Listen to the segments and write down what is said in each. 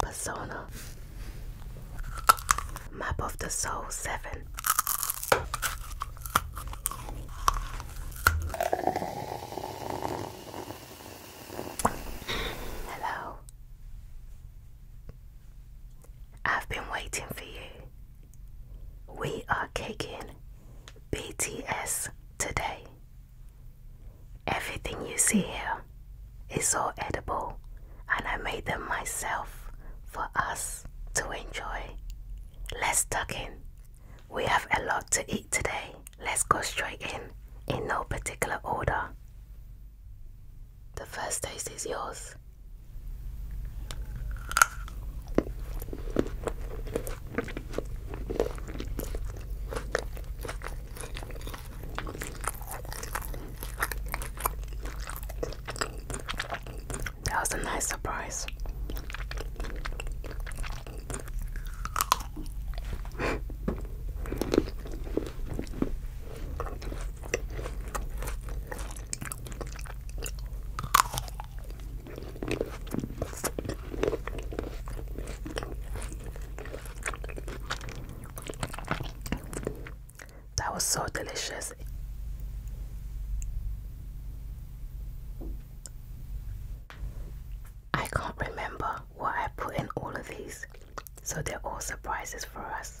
Persona Map of the Soul 7 Hello. I've been waiting for you. We are kicking BTS today. Everything you see here is all edible, and I made them myself for us to enjoy. Let's tuck in. We have a lot to eat today. Let's go straight in, in no particular order. The first taste is yours. That was a nice surprise. That was so delicious. I can't remember what I put in all of these, so they're all surprises for us.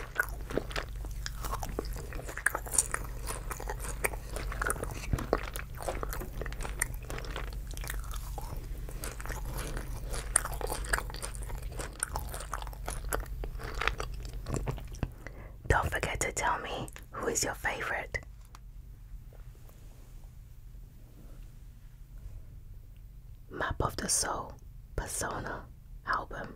Don't forget to tell me who is your favorite. Map of the Soul Persona album.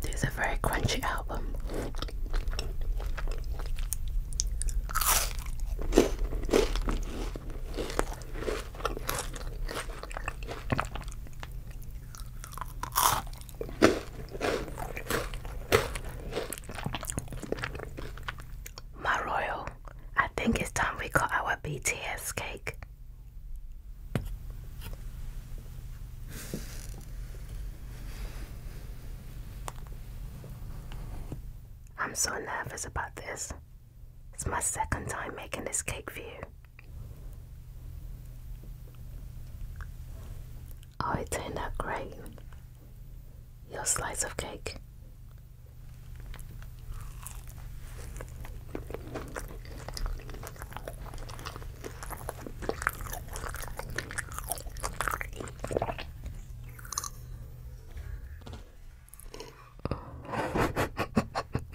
This is a very crunchy album. My royal, I think it's time we got our BTS cake. I'm so nervous about this. It's my second time making this cake for you. Oh, it turned out great. Your slice of cake.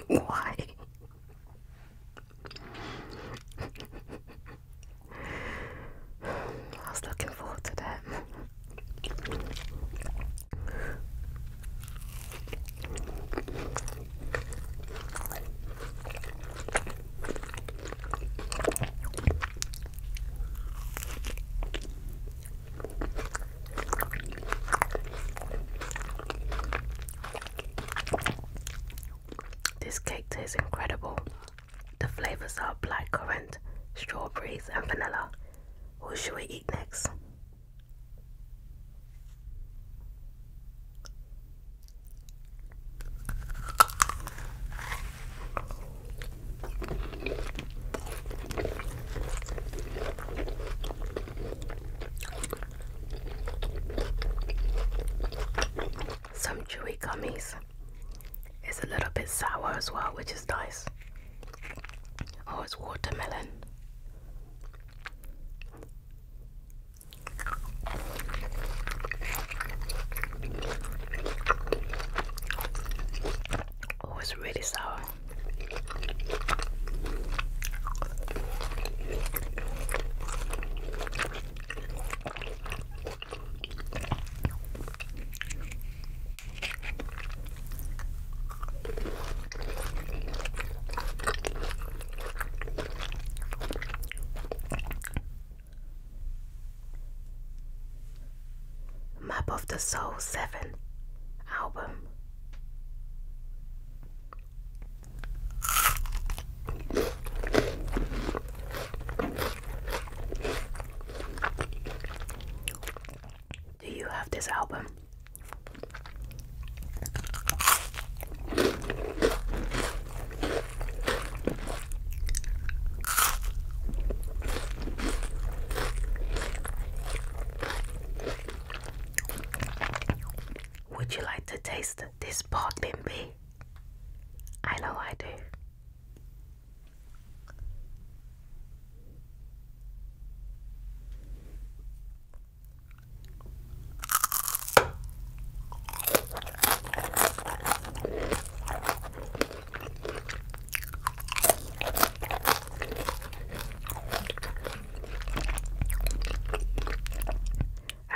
Why? I was looking forward to that. This cake tastes incredible. The flavors are black currant, strawberries, and vanilla. What should we eat next? Some chewy gummies. It's a little bit sour as well, which is nice. Oh, it's watermelon. Oh, it's really sour. Map of the Soul 7 album. Do you have this album? Would you like to taste this sparkling bee? I know I do.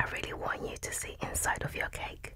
I really want you to see inside of your cake.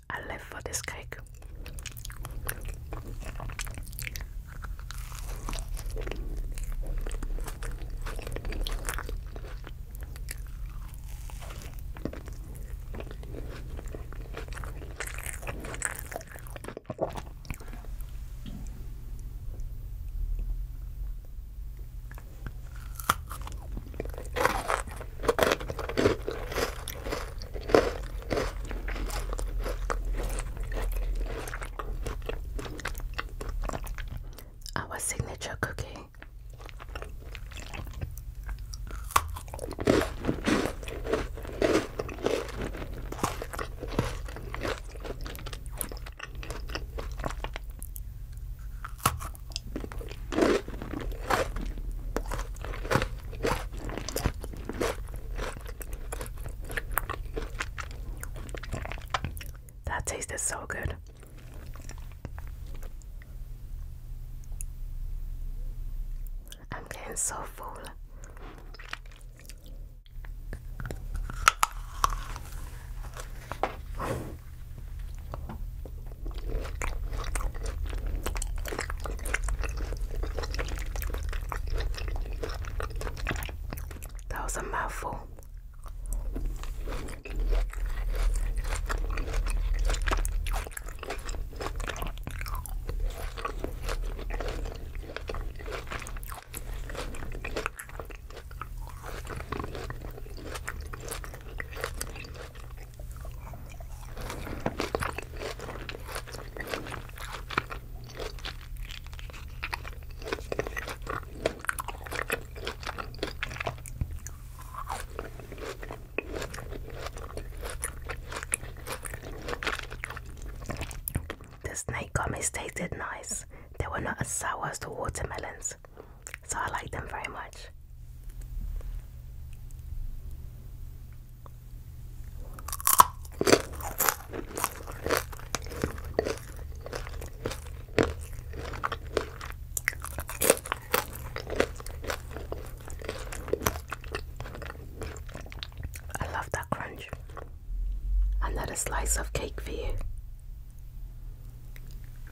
I live for this cake. Our signature cookie. That tasted so good. I'm getting so full. That was a mouthful. The snake gummies tasted nice. They were not as sour as the watermelons, so I like them very much. I love that crunch. Another slice of cake for you.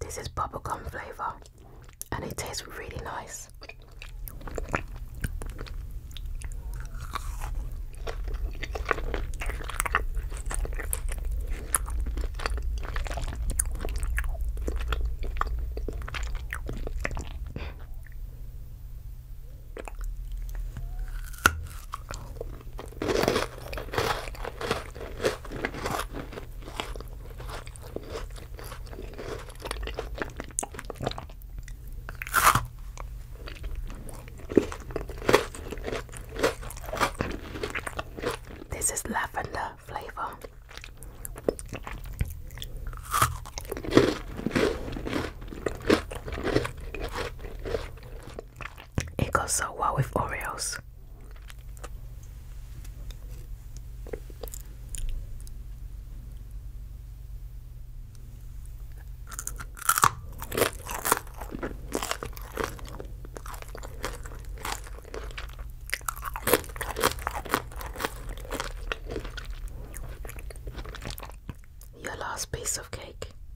This is bubble gum flavour and it tastes really nice. This is lavender flavor. It goes so well with Oreos. Your last piece of cake.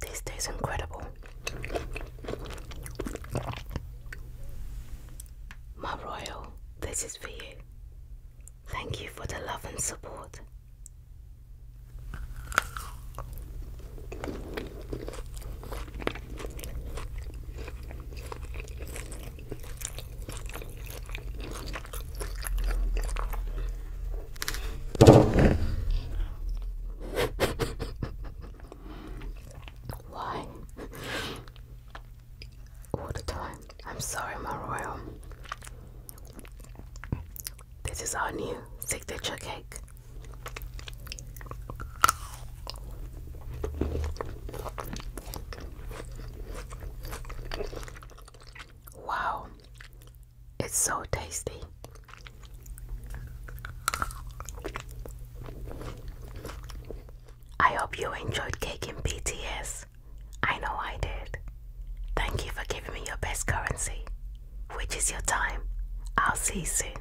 This is incredible. My royal, this is for you. Thank you for the love and support. Why? All the time. I'm sorry, my royal. This is our new signature cake. Wow, it's so tasty. I hope you enjoyed cake in BTS. I know I did. Thank you for giving me your best currency, which is your time. I'll see you soon.